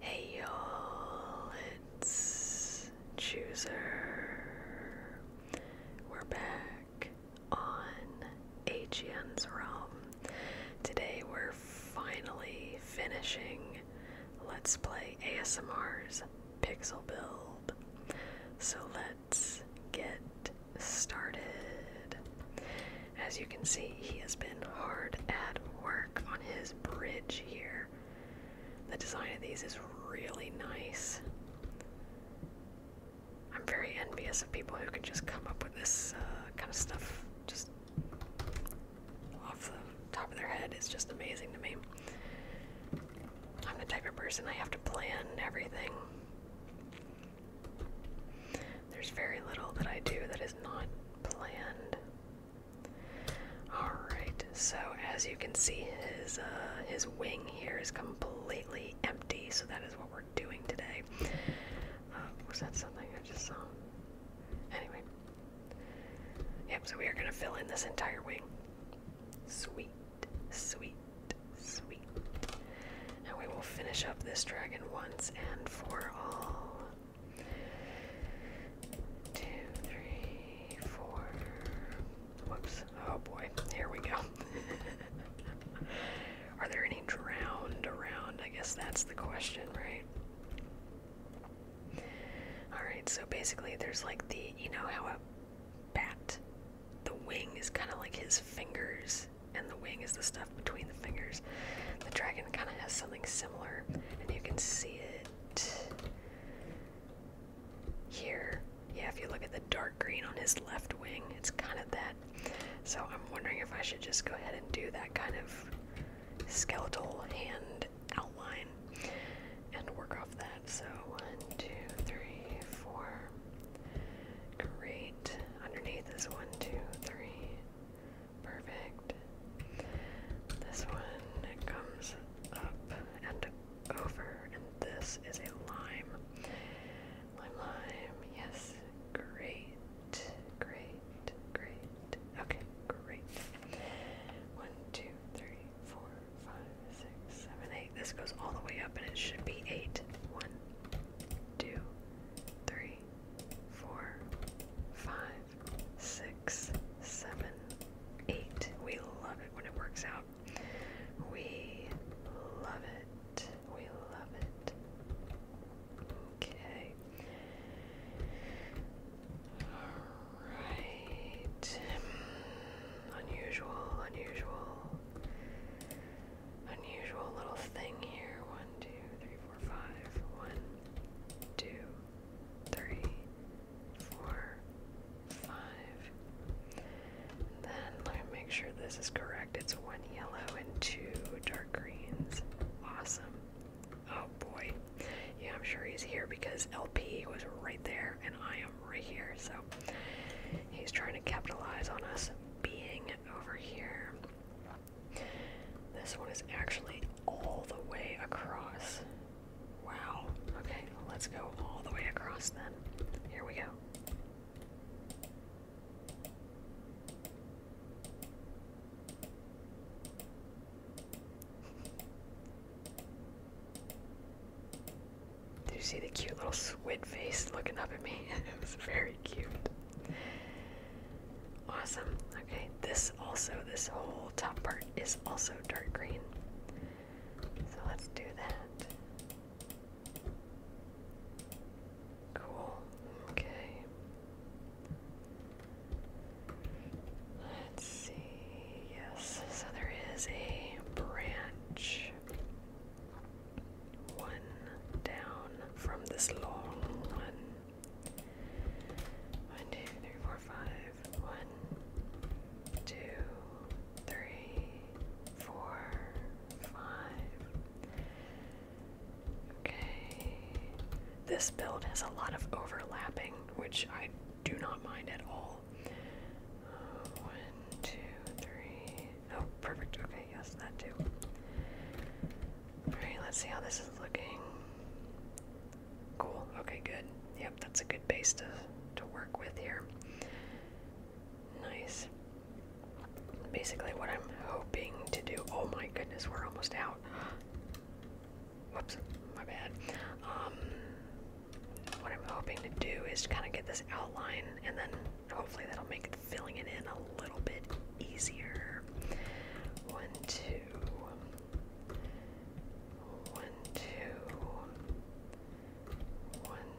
Hey y'all, it's Chooser. We're back on AGN's Realm. Today we're finally finishing Let's Play ASMR's Pixel Build. So let's get started. As you can see, he has been hard at work his bridge here. The design of these is really nice. I'm very envious of people who can just come up with this uh, kind of stuff just off the top of their head. It's just amazing to me. I'm the type of person I have to plan everything. There's very little that I do that is not planned. Alright, so as you can see his uh, his wing here is completely empty, so that is what we're doing today. Uh, was that something I just saw? Anyway. Yep, so we are gonna fill in this entire wing. Sweet, sweet, sweet. And we will finish up this dragon once and for all. Two, three, four. Whoops. Oh boy. Here we go. Are there any drowned around? I guess that's the question, right? Alright, so basically there's like the, you know how a bat, the wing is kind of like his fingers, and the wing is the stuff between the fingers. The dragon kind of has something similar, and you can see it here. Yeah, if you look at the dark green on his left wing, it's kind of that. So I'm wondering if I should just go ahead and do that kind of skeletal hand outline and work off that. So one, two, three, four. Great. Underneath is one, two, three, Perfect. This one comes up and over, and this is a lime. Lime, lime, yes. Great, great, great. Okay, great. One, two, three, four, five, six, seven, eight. This goes all the way up, and it should be eight. One, two, three, four, five, six, seven, eight. We love it when it works out. We love it. We love it. Okay. Alright. Unusual, unusual, unusual little thing here. One, two, three, four, five. then let me make sure this is correct. It's one yellow and two dark greens. Awesome. Oh boy. Yeah, I'm sure he's here because LP was right there and I am right here. So he's trying to capitalize on us being over here. This one is actually all the way across. Wow. Okay, let's go all the way across then. Here we go. Did you see the cute little squid face looking up at me? it was very cute. Awesome. Okay, this also, this whole top part is also dark green. So let's do that. Cool. Okay. Let's see. Yes, so there is a branch. One down from this long one. One, two, three, four, five. One, two, three, four, five. Okay. This build has a lot of overlapping, which I do not mind at all. Uh, one, two, three. Oh, perfect. Okay. Okay, yes, that too. Alright, let's see how this is looking. Cool, okay, good. Yep, that's a good base to, to work with here. Nice. Basically, what I'm hoping to do. Oh my goodness, we're almost out. Whoops, my bad. Um, what I'm hoping to do is kind of get this outline, and then hopefully that'll make filling it in a little bit easier. One, two, one, two, one,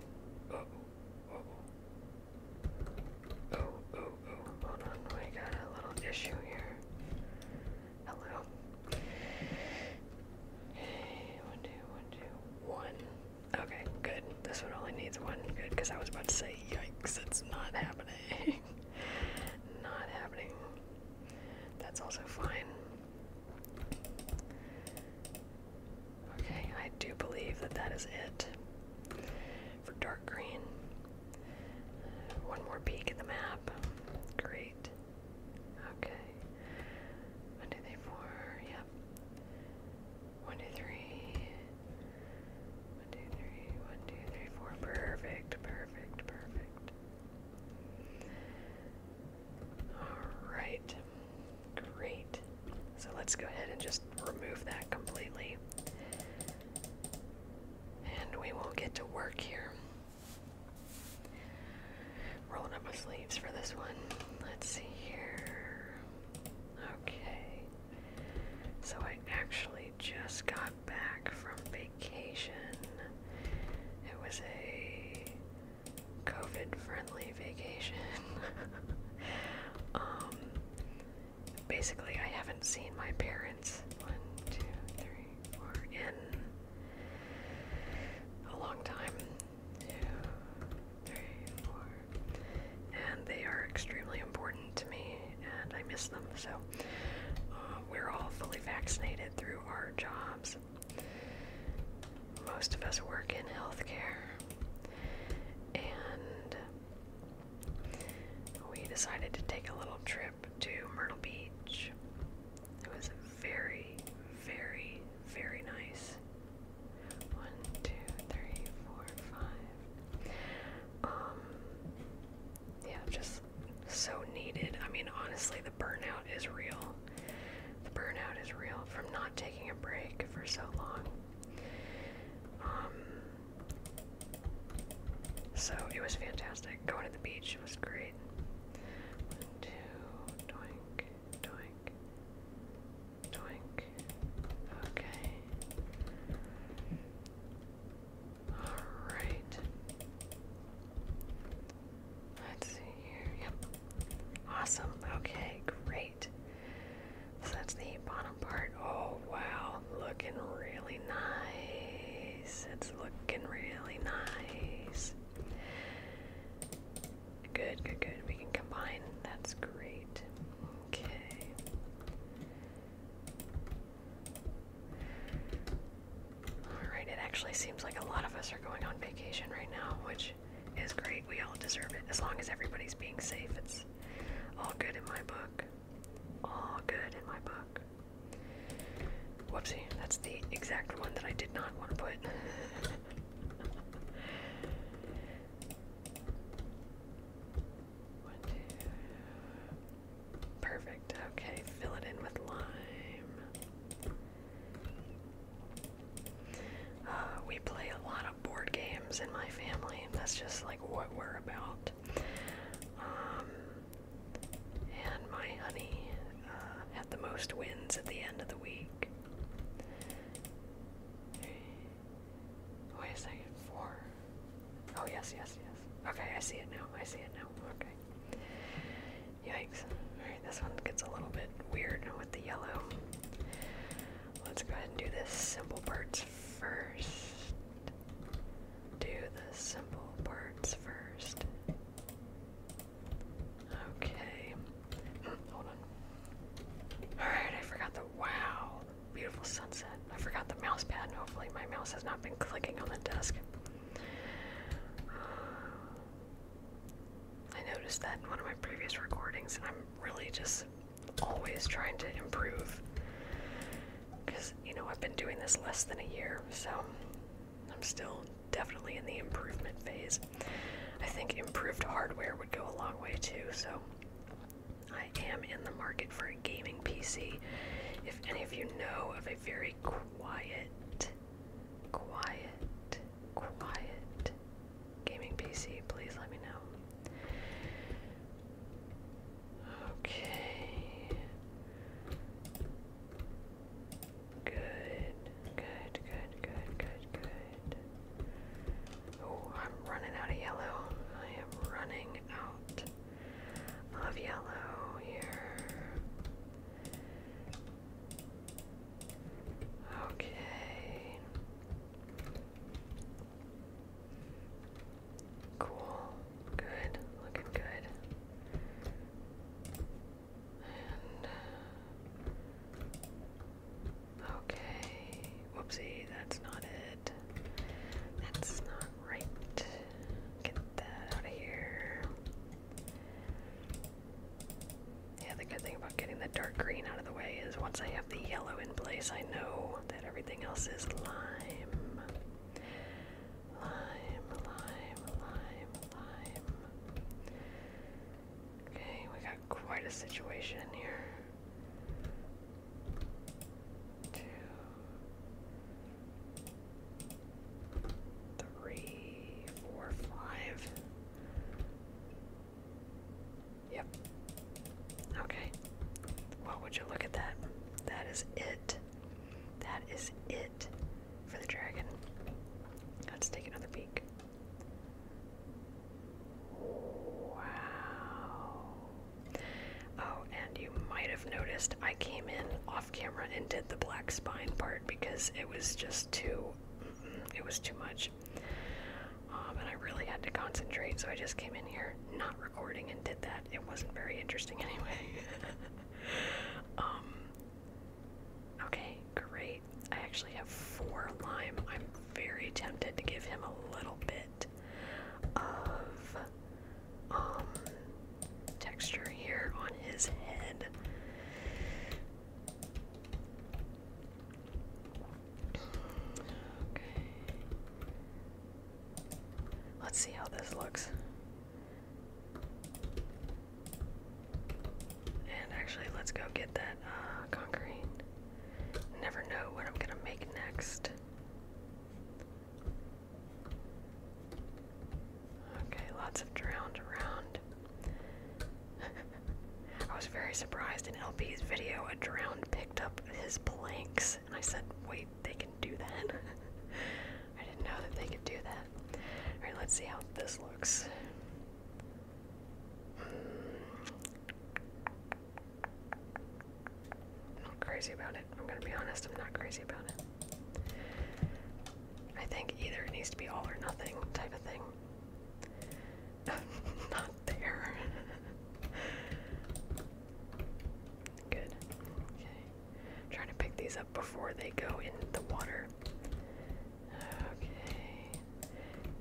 oh, oh, oh, oh, oh, hold on, we got a little issue here. Hello. Hey, one, two, one, two, one. Okay, good. This one only needs one. Good, because I was about to say, yikes, it's not happening. Not happening. That's also fine. Okay, I do believe that that is it for dark green. Uh, one more peek at the map. Great. Okay. One, two, three, four. Yep. One, two, three. One, two, three, four. Perfect, perfect, perfect. Alright. Great. So let's go ahead and just remove that completely. And we will get to work here. Rolling up sleeves for this one. Let's see here. Okay. So I actually just got back from vacation. It was a COVID friendly vacation. um, basically, I haven't seen my parents one, two, three, four, in a long time. Two, three, four, and they are extremely important to me, and I miss them. So uh, we're all fully vaccinated through our jobs. Most of us work in healthcare, and we decided to take a little trip to Myrtle Beach. It was very, very, very nice. One, two, three, four, five. Um, yeah, just so needed. I mean, honestly, the burnout is real. The burnout is real from not taking a break for so long. Um, so it was fantastic. Going to the beach was great. Doink. Okay. Alright. Let's see here. Yep. Awesome. Okay, great. So that's the bottom part. Oh, wow. Looking really nice. It's looking really nice. Good, good, good. We can combine. That's great. Okay. Alright, it actually seems like a lot of us are going on vacation right now, which is great. We all deserve it. As long as everybody's being safe, it's all good in my book. All good in my book. Whoopsie, that's the exact one that I did not want to put. One, two. Perfect. Okay, fill it in with lime. Uh, we play a lot of board games in my family. That's just like what we're about. Um, and my honey uh, had the most wins at the end of the week. Wait a second, four. Oh, yes, yes, yes. Okay, I see it now. I see it now. Okay. Yikes. Alright, this one gets a little bit weird with the yellow. Let's go ahead and do the simple parts first. Do the simple parts first. Okay. Hold on. Alright, I forgot the wow beautiful, sunset. I forgot the mouse pad, and hopefully my mouse has not been clicking on the desk. I noticed that in one of my previous recordings, I'm really just always trying to improve. Because, you know, I've been doing this less than a year, so I'm still definitely in the improvement phase. I think improved hardware would go a long way too, so I am in the market for a gaming PC. If any of you know of a very quiet, quiet, quiet gaming PC, please let me know. Okay. Good, good, good, good, good, good. Oh, I'm running out of yellow. I am running out of yellow here. Okay. Cool. Good. Looking good. And Okay. Whoopsie, that's not it. That's not right. Get that out of here. Yeah, the good thing about getting the dark green out of the way is once I have the yellow in place, I know that everything else is lime. Lime, lime, lime, lime. Okay, we got quite a situation here. Two, three, four, five. Yep. Okay. Well, would you look at that? That is it. That is it for the dragon. Let's take another peek. Wow. Oh, and you might have noticed I came in off camera and did the black spine part because it was just too, it was too much. Um, and I really had to concentrate, so I just came in here not recording and did that. It wasn't very interesting anyway. um, okay, great. I actually have four lime. I'm very tempted to give him a little bit of um, texture here on his head. Okay. Let's see how this looks. And actually, let's go get that uh, concrete. Never know what I'm gonna make next. Okay, lots of drowned around. I was very surprised in LP's video, a drowned picked up his planks, and I said, wait, they can do that? I didn't know that they could do that. Alright, let's see how this looks i not crazy about it. I'm gonna be honest, I'm not crazy about it. I think either it needs to be all or nothing type of thing. not there. Good. Okay. trying to pick these up before they go in the water. Okay.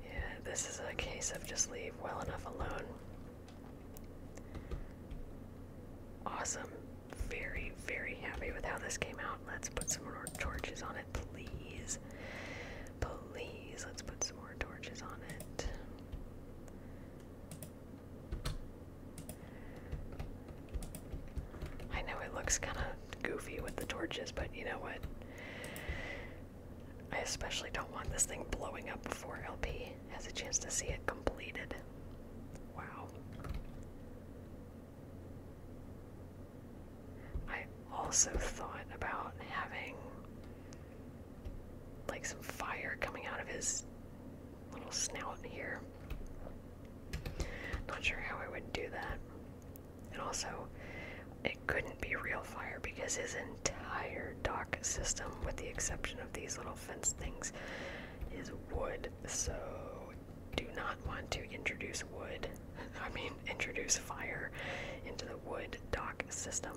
Yeah, this is a case of just leave well enough alone. Awesome. Very, very happy with how this came out. Let's put some more torches on it, please. Please, let's put some more torches on it. I know it looks kind of goofy with the torches, but you know what? I especially don't want this thing blowing up before LP has a chance to see it completed. Wow. I also thought about having like some fire coming out of his little snout here. Not sure how I would do that. And also, it couldn't be real fire because his entire dock system, with the exception of these little fence things, is wood. So, do not want to introduce wood, I mean, introduce fire into the wood dock system.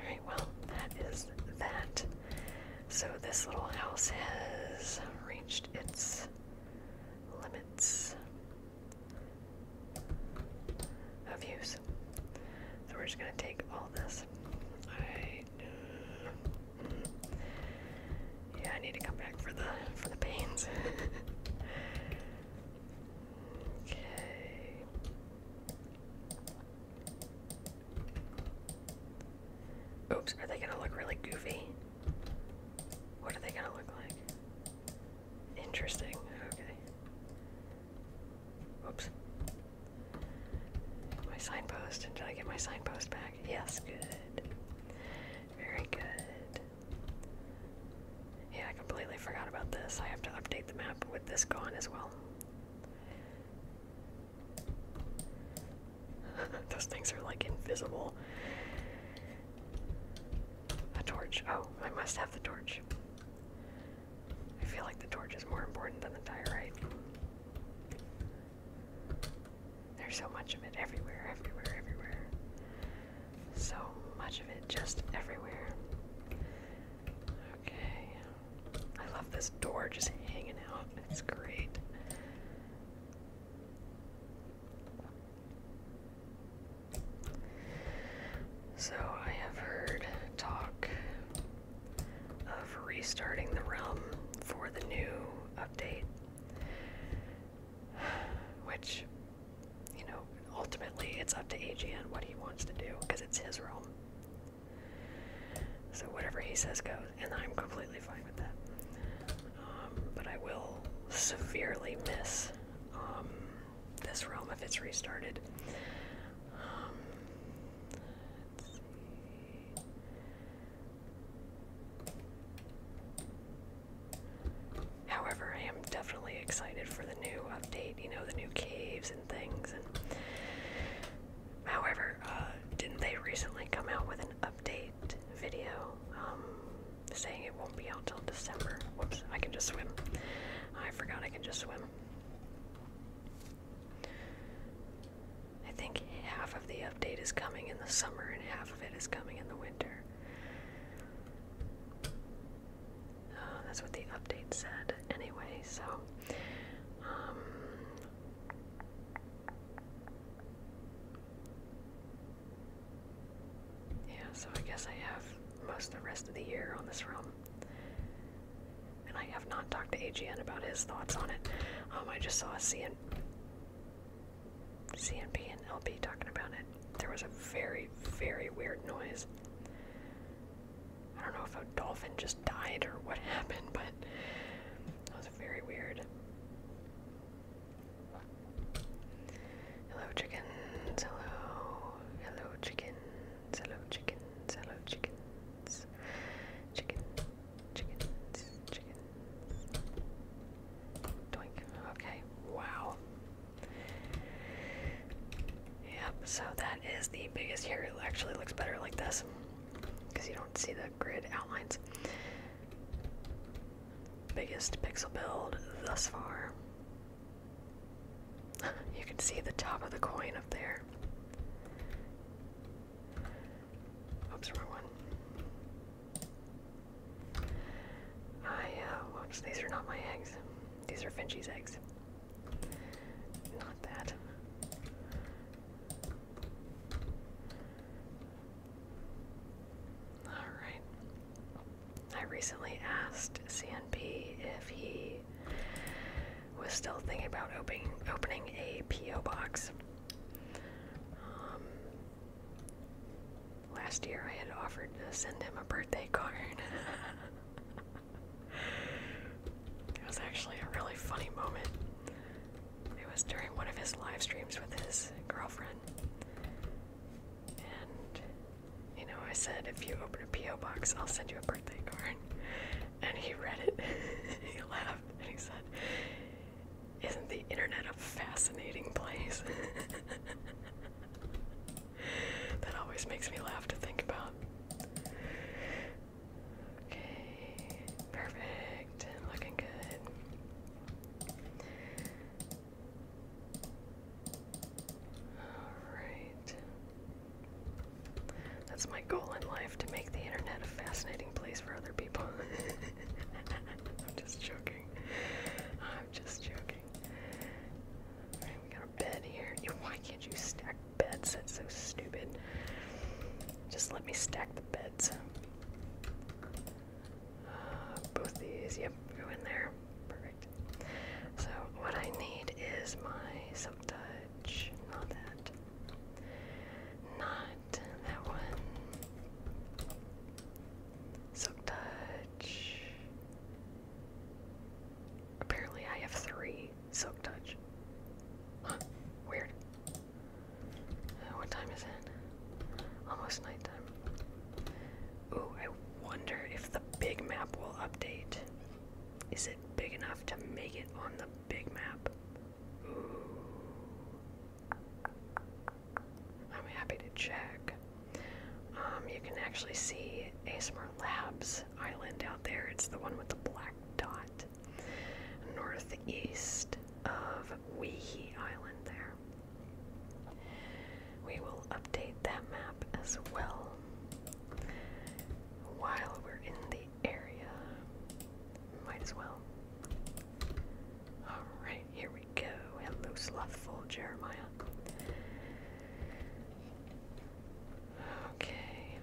Alright, well, that is that. So, this little house has reached its limits of use. So we're just going to take all this. I, uh, yeah, I need to come back for the for the pains. okay. Oops, are they gonna look really goofy? What are they gonna look like? Interesting. Okay. Oops. My signpost. did I get my signpost back? Yes, good. Very good. Yeah, I completely forgot about this. I have to update the map with this gone as well. Those things are like invisible. A torch. Oh, I must have the torch. I feel like the torch is more important than the diorite. There's so much of it everywhere, everywhere, everywhere. So much of it just everywhere. Okay. I love this door just hanging out. It's great. So I have heard talk of restarting the realm for the new update, which, you know, ultimately it's up to AGN what he wants to do because it's his realm. So whatever he says goes, and I'm completely fine with that. Um, but I will severely miss um, this realm if it's restarted. Um, however, I am definitely excited for the new update, you know, the new caves and things. And however, uh, didn't they recently come out with an update video um, saying it won't be out till December. Whoops, I can just swim. I forgot I can just swim. I think half of the update is coming in the summer and half of it is coming in the winter. Uh, that's what the update said, anyway, so. Um, yeah, so I guess I have most of the rest of the year on this room, And I have not talked to AGN about his thoughts on it. Um, I just saw C and CNP and LB talking about it. There was a very, very weird noise. I don't know if a dolphin just died or what happened, but that was very weird. Hello chickens, hello, hello chickens, hello chickens, hello chickens. Chicken, chickens, chickens. Okay, wow. Yep, so that is the biggest here. It actually looks better like this because you don't see the grid outlines biggest pixel build thus far. you can see the top of the coin up there. Oops, wrong one. I, uh, oops, these are not my eggs. These are Finchie's eggs. Not that. Alright. I recently asked CNP if he was still thinking about opening opening a PO box. Um, last year I had offered to send him a birthday card. it was actually a really funny moment. It was during one of his live streams with his girlfriend. And, you know, I said, if you open a P.O. box, I'll send you a birthday card. And he read it, he laughed, and he said, Isn't the internet a fascinating place? that always makes me laugh to think about. Okay, perfect. Looking good. Alright. That's my goal in life to make the internet a fascinating place for other people. I'm just joking. I'm just joking. Alright, we got a bed here. Why can't you stack beds? That's so stupid. Just let me stack the beds both these, yep, go in there. Perfect. So what I need is my soap touch. Not that. Not that one. Soap touch. Apparently I have three soap touch. weird. What time is it? Almost nighttime. Ooh, I wonder if the big map will update. Is it big enough to make it on the big map? Ooh. I'm happy to check. Um, you can actually see ASMR Labs Island out there. It's the one with the black dot. Northeast of Weehee Island there. We will update that map as well while we're in the area. Might as well. Alright, here we go. Hello, slothful Jeremiah. Okay.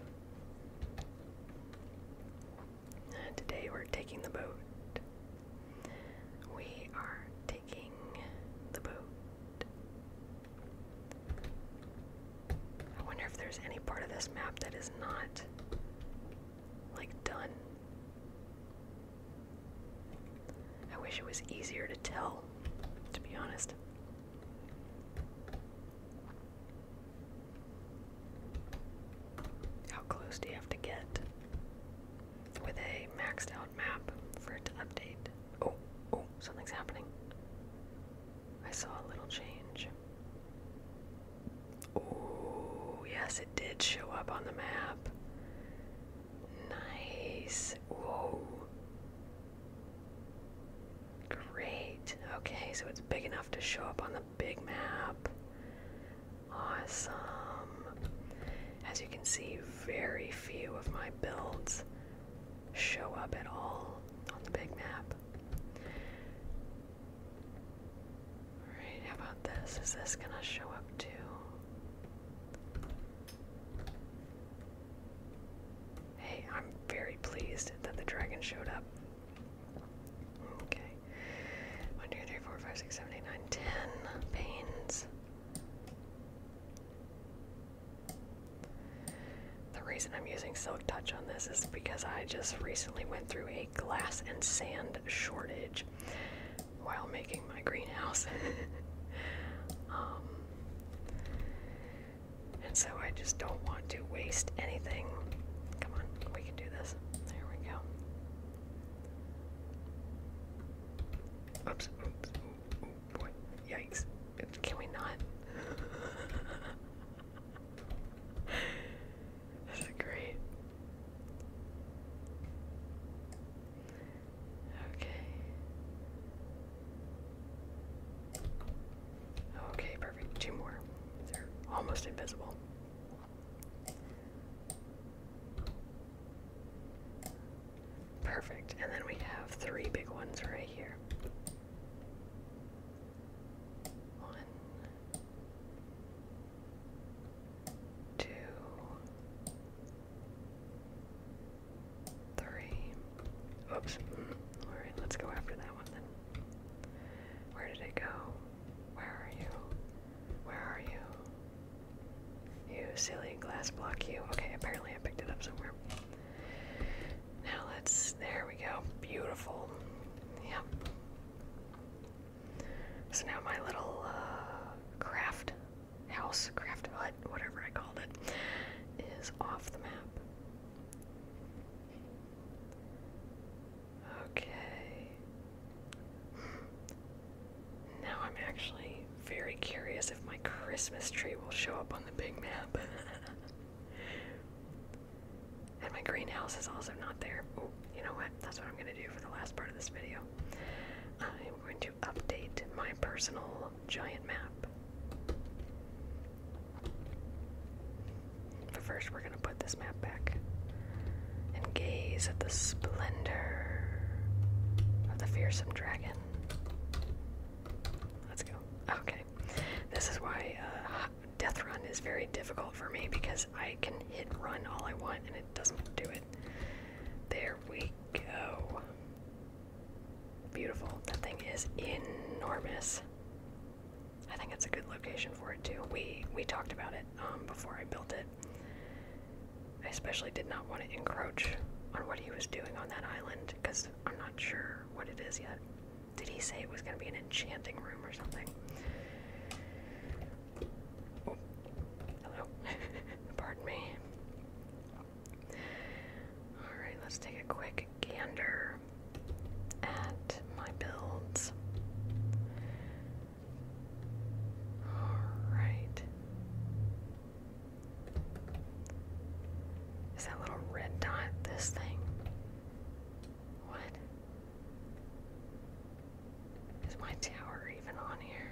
Today we're taking the boat. We are taking the boat. I wonder if there's any part of this map that is not like done. I wish it was easier to tell, to be honest. How close do you have to get with a maxed out map for it to update? Oh, oh, something's happening. I saw a little change. Oh, yes, it did show up on the map. Nice. Whoa. Great. Okay, so it's big enough to show up on the big map. Awesome. As you can see, very few of my builds show up at all on the big map. Alright, how about this? Is this gonna show up too? Hey, I'm very pleased that the dragon showed up. Okay. 1, 2, The reason I'm using Silk Touch on this is because I just recently went through a glass and sand shortage while making my greenhouse. Um, and so I just don't want to waste anything. Come on, we can do this. There we go. Oops, oops, oh, oh boy. Yikes. Can we not? this great. Okay. Okay, perfect. Two more. They're almost invisible. Perfect. And then we have three big ones right here. One, two, three. Oops. Mm-hmm. Alright, let's go after that one then. Where did it go? Where are you? Where are you? You silly glass block, you. Okay, apparently I picked it up somewhere. Now let's. There we go. Beautiful. Yep. So now my little uh, craft house, craft hut, whatever I called it, is off the map. Okay. Now I'm actually very curious if my Christmas tree will show up on the big map. and my greenhouse is also not there. Oh, you know what? That's what I'm going to do for the last part of this video. I'm going to update my personal giant map. But first, we're going to put this map back and gaze at the splendor of the fearsome dragon. Let's go. Okay. This is why uh, Death Run is very difficult for me because I can hit run all I want and it doesn't do it. There we go. Beautiful. That thing is enormous. I think it's a good location for it too. We we talked about it um, before I built it. I especially did not want to encroach on what he was doing on that island because I'm not sure what it is yet. Did he say it was going to be an enchanting room or something? hello. Pardon me. Alright, let's take a quick gander at my builds. Alright. Is that little red dot this thing? What? Is my tower even on here?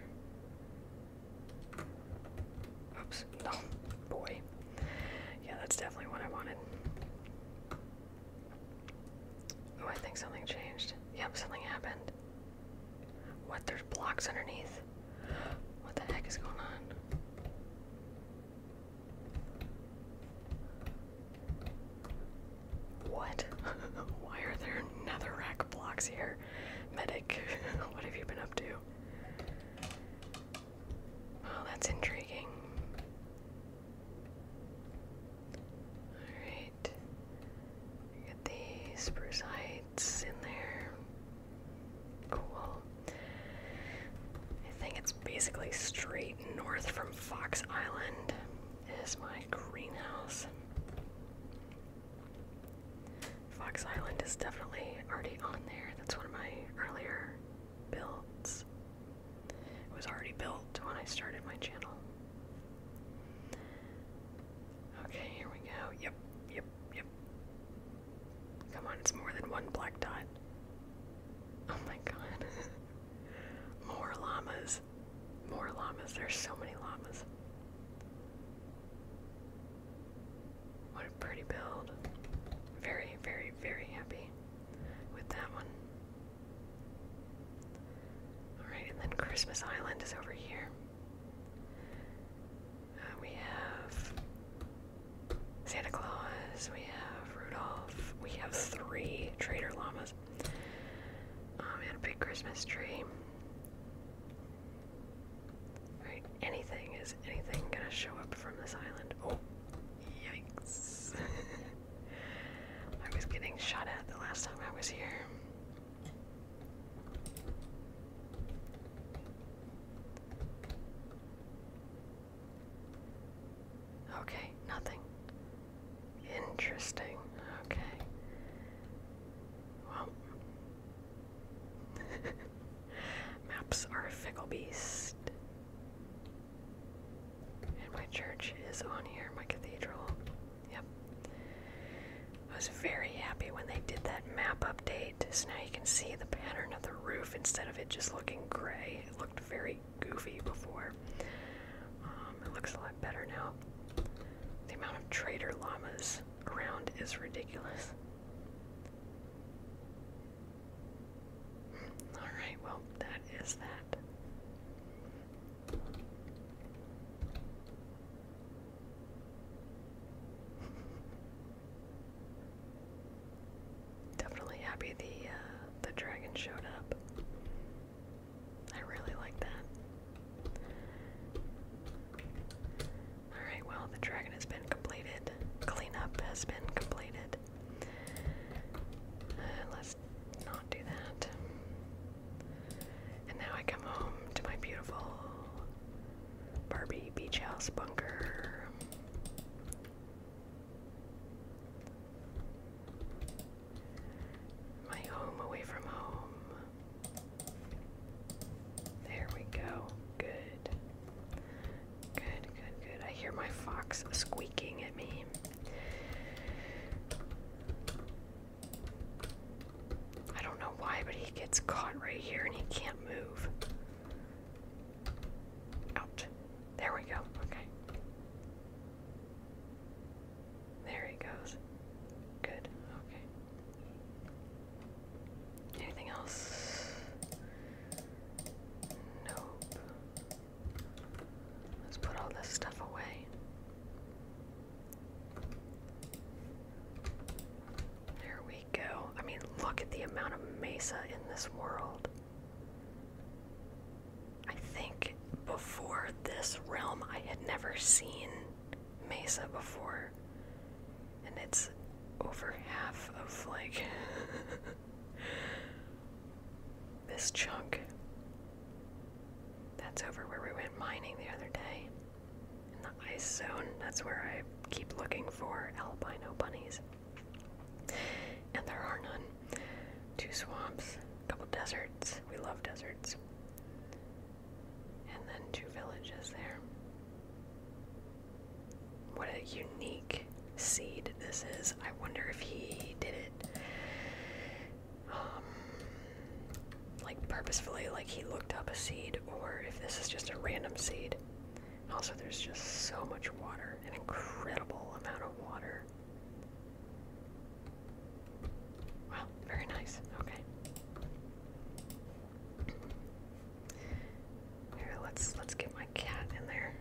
Oops. Oh, boy. Yeah, that's definitely what I wanted. Oh, I think something changed. Yep, something happened. What? There's blocks underneath. What the heck is going on? What? Why are there netherrack blocks here? Medic, what have you been up to? Oh, that's intriguing. Alright. Get the spruce heights in there. Cool. I think it's basically straight north from Fox Island is my greenhouse. Fox Island is definitely already on there. That's one of my earlier builds. It was already built when I started my channel. Okay, here we go. Yep, yep, yep. Come on, it's more than one black dot. Oh my god. More llamas. More llamas. There's so many llamas. What a pretty build. Very, very, very happy with that one. Alright, and then Christmas Island is over here. Uh, we have Santa Claus, we have Rudolph, we have three trader llamas, um, and a big Christmas tree. Alright, anything is anything gonna show up from this island? Oh, yikes. I was getting shot at the last time I was here. Okay, nothing. Interesting. Okay. Well, maps are a fickle beast. And my church is on here, my cathedral. Yep. I was very happy when they did that map update, so now you can see the pattern of the roof instead of it just looking gray. It looked very goofy before. Um, it looks a lot better now. The amount of trader llamas around is ridiculous. Alright, well, that is that. Definitely happy the uh, the dragon showed up. I really like that. All right, well, the dragon has been completed. Cleanup has been completed. Uh, let's not do that. And now I come home to my beautiful Barbie beach house bunker. My home away from home. There we go. Good. Good, good, good. I hear my fox squeaking at me. I don't know why, but he gets caught right here and he can't move. Out. There we go. Okay. There he goes. Good. Okay. Anything else? Nope. Let's put all this stuff away. There we go. I mean, look at the amount of mesa in this world. I think before this realm, I had never seen mesa before. And it's over half of like This chunk. That's over where we went mining the other day. In the ice zone, that's where I keep looking for albino bunnies. And there are none. Two swamps, a couple deserts. We love deserts. And then two villages there. What a unique seed this is. I wonder if he did it um, like purposefully, like he looked up a seed, or if this is just a random seed. Also, there's just so much water, an incredible amount of water. Wow, very nice. Okay. Here, let's let's get my cat in there.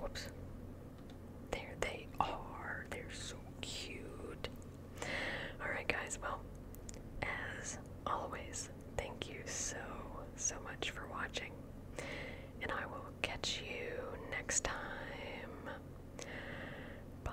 Whoops. There they are. They're so cute. Alright guys, well, as always, thank you so so much for watching. And I will catch you next time. Bye.